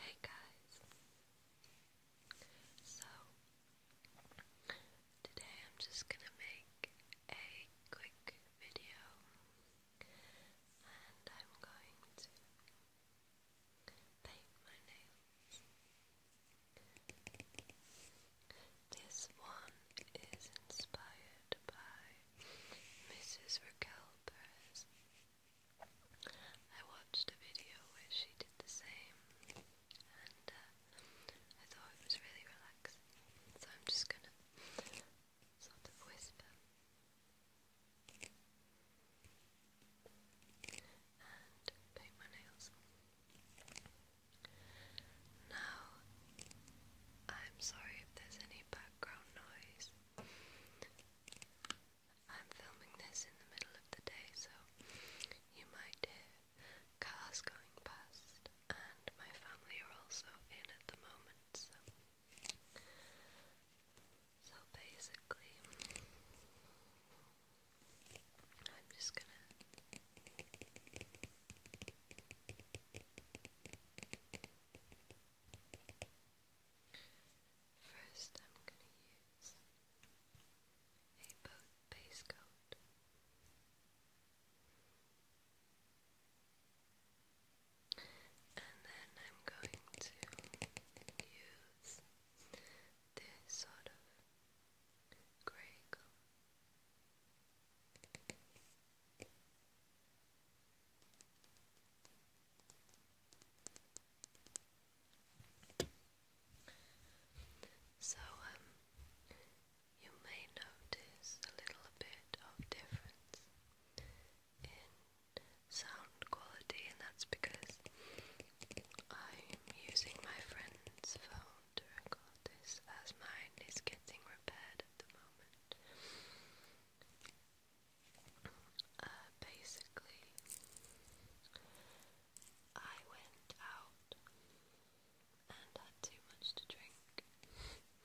Hey guys, so today I'm just gonna make a quick video and I'm going to paint my nails. This one is inspired by Mrs. Raquel Perez. I watched a video where she did the same, and uh, I thought it was really relaxing. So I'm just gonna sort of whisper and paint my nails. Now, I'm sorry if there's any background noise. I'm filming this in the middle of the day, so you might hear cars going past, and my family are also in at the moment, so. So basically, I'm just gonna. First, I'm going to use a boat base coat. And then I'm going to use this sort of grey coat. So, um, you may notice a little bit of difference in sound quality, and that's because I'm using my friend's phone to record this as mine is getting repaired at the moment. Uh, basically, I went out and had too much to drink,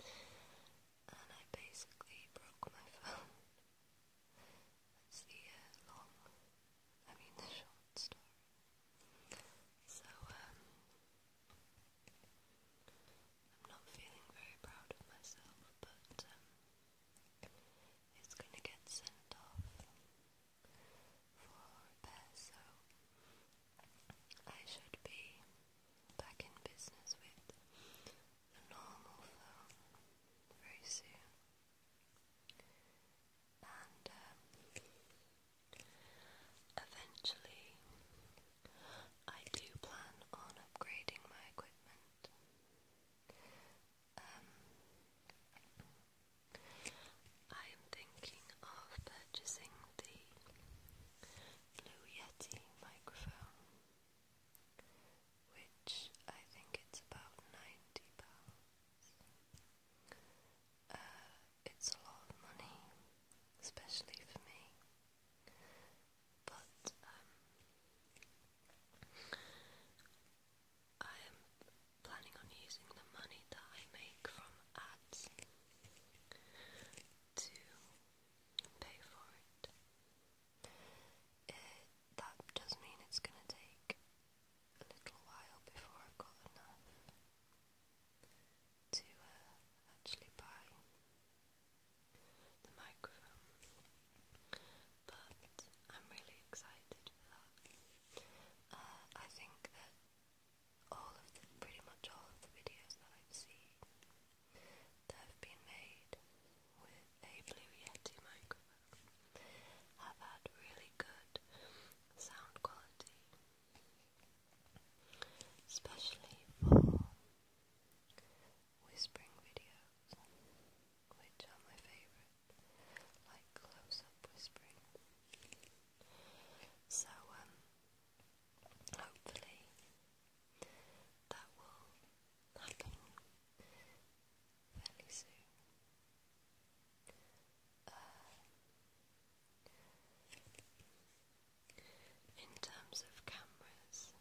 and I basically broke my phone. That's the uh, long, I mean the short story. So, um, I'm not feeling very proud of myself, but um, it's going to get sent off for repair, so I should be back in business with the normal phone very soon. And um, eventually, I do plan on upgrading my equipment. Um, I am thinking of purchasing the Blue Yeti microphone, which I think it's about ninety pounds. Uh, it's a lot of money, especially for me. But um, I am planning on using the money that I make from ads to pay for it eh, that does mean it's going to take a little while before I've got enough to uh, actually buy the microphone, but I'm really excited for that. Uh, I think that all of pretty much all of the videos that I've seen that have been made with a Blue Yeti microphone have had really good sound quality especially for whispering videos, which are my favourite, like close-up whispering. So, um, hopefully that will happen fairly soon. Uh, in terms of cameras,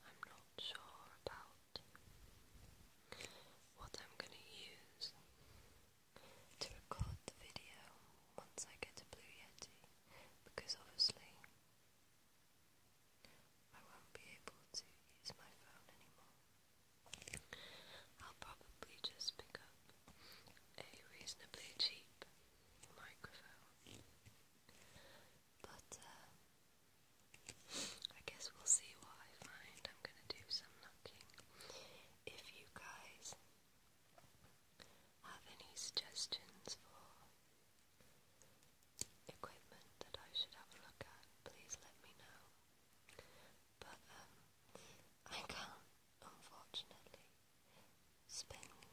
I'm not sure about what I'm going to use to record the video once I get a Blue Yeti because obviously I won't be able to use my phone anymore. I'll probably just pick up a reasonably cheap microphone. But uh, I guess we'll see what I find. I'm going to do some knocking. If you guys have any suggestions for equipment that I should have a look at, please let me know. But um, I can unfortunately spend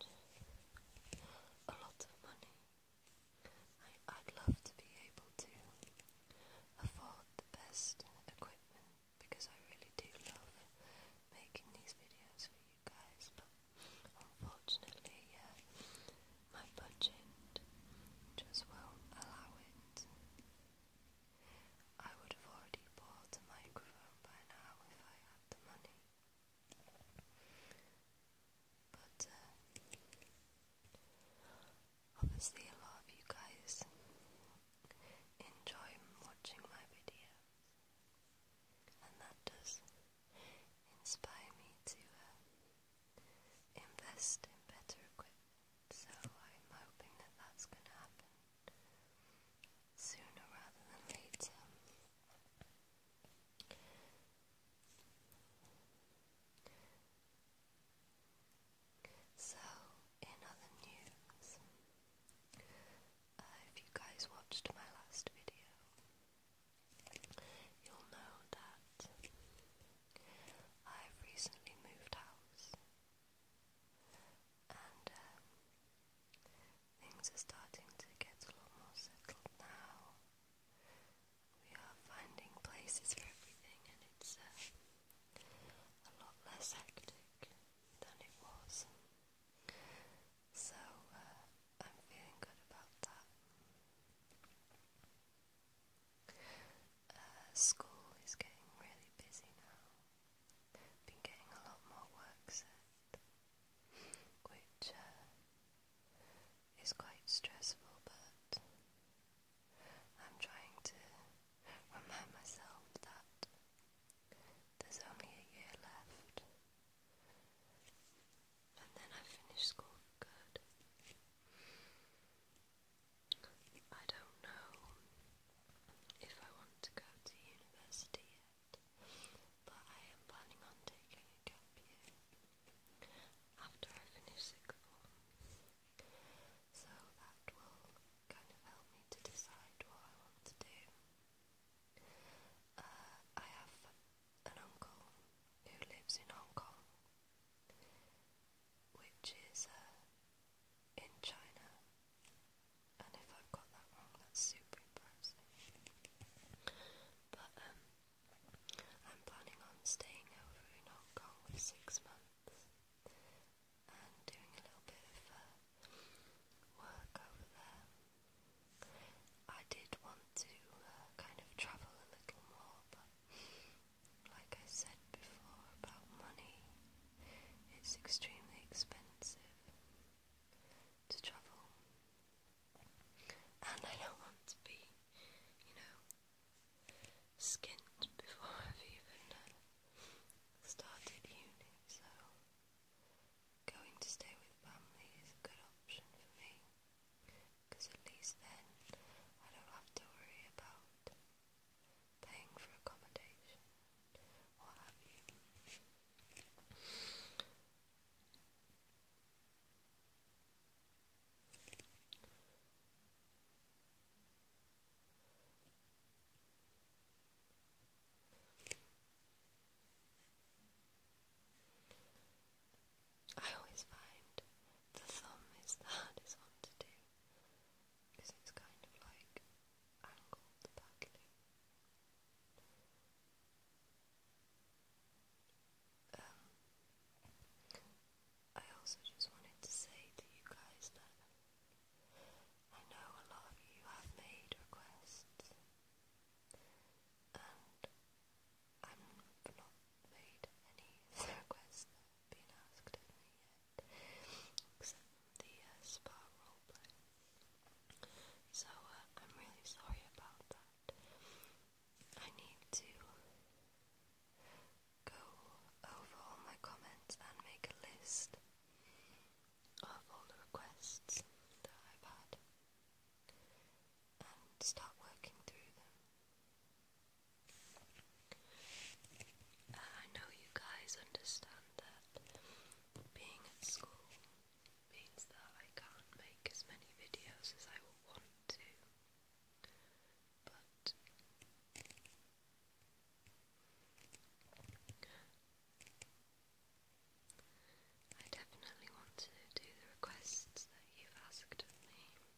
a lot of money. I, I'd love to be able to afford the best equipment because I really do love making these videos for you guys, but unfortunately, yeah, my budget just won't allow it. I would have already bought a microphone by now if I had the money. But uh, obviously, a lot of you guys enjoy watching my videos, and that does inspire me to uh, invest in better equipment. So I'm hoping that that's going to happen sooner rather than later. So, in other news, uh, if you guys watched my last video, you'll know that I've recently moved house and um, things are starting to get a lot more settled now. We are finding places for everything, and it's uh, a lot less hectic than it was. So uh, I'm feeling good about that. Uh, school is getting really busy now. Been getting a lot more work set, which uh, is quite stressful, but I'm trying to remind myself that there's only a year left. And then I finish school good. I don't know if I want to go to university yet, but I am planning on taking a gap year after I finish sixth form. So that will kind of help me to decide what I want to do. Uh, I have an uncle who lives in Hong Kong which is uh, in China. And if I've got that wrong, that's super embarrassing. But um, I'm planning on staying over in Hong Kong for six months and doing a little bit of uh, work over there. I did want to uh, kind of travel a little more, but like I said before about money, it's extremely expensive to travel. And I don't want to be, you know, skint before I've even uh, started uni, so going to stay with family is a good option for me because at least then I don't have to worry about paying for accommodation, what have you. I always find the thumb is the hardest one to do because it's kind of like angled back um, I also just wanted to say to you guys that I know a lot of you have made requests and I've not made any requests that asked of me yet, except the uh, spa roleplay. So I'm really sorry about that. I need to go over all my comments and make a list of all the requests that I've had and start working through them. I know you guys understand that being at school means that I can't make as many videos as I would want to, but I definitely want to do the requests that you've asked of me.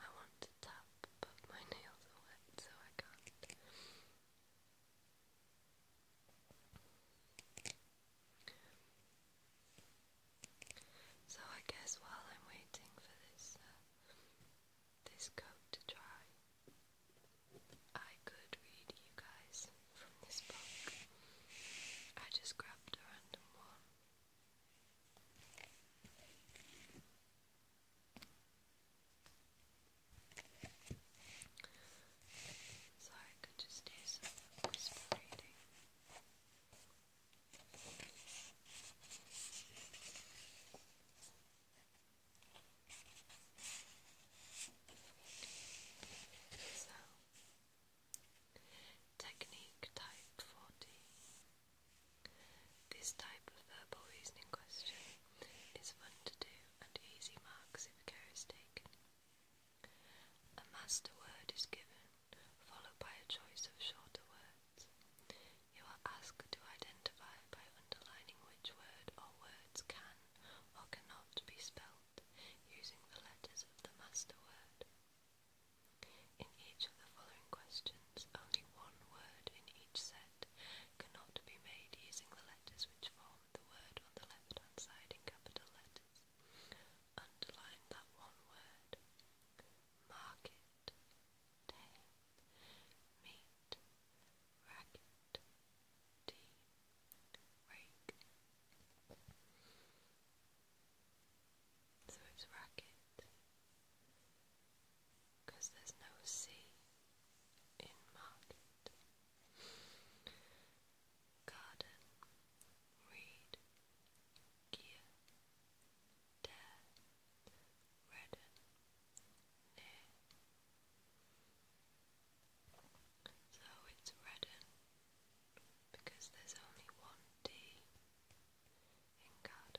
I want to tap, my nails are wet, so I can't. So I guess while I'm waiting for this uh, this coat to dry, I could read you guys from this book. I just grabbed a random one. So I could just do some whisper reading. So, technique type 40 this type of verbal reasoning question is fun to do and easy marks if care is taken. A master word is given, followed by a choice of shorter words. You are asked to identify by underlining which word or words can or cannot be spelled using the letters of the master word. In each of the following questions, only one word in each set cannot be made using the letters which form the word on the left-hand side in capital letters. Underline that one word. Market, meat, racket, tea, rake. So it's racket. Because there's no C in market. Garden, read, gear, dare, redden, So it's redden because there's only one D Thank God.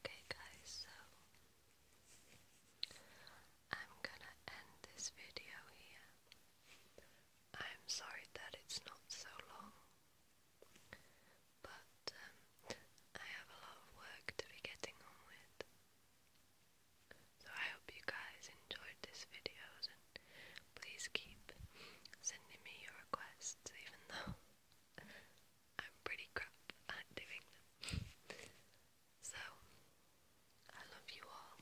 Okay, guys, so I'm gonna end this video here. I'm sorry that it's not so long, but um, I have a lot of work to be getting on with. So I hope you guys enjoyed this video and please keep sending me your requests even though I'm pretty crap at doing them. So, I love you all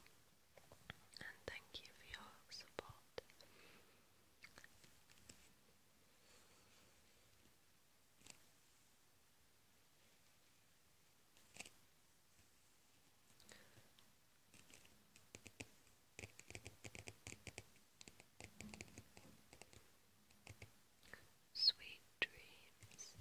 and thank you for your support. Sweet dreams.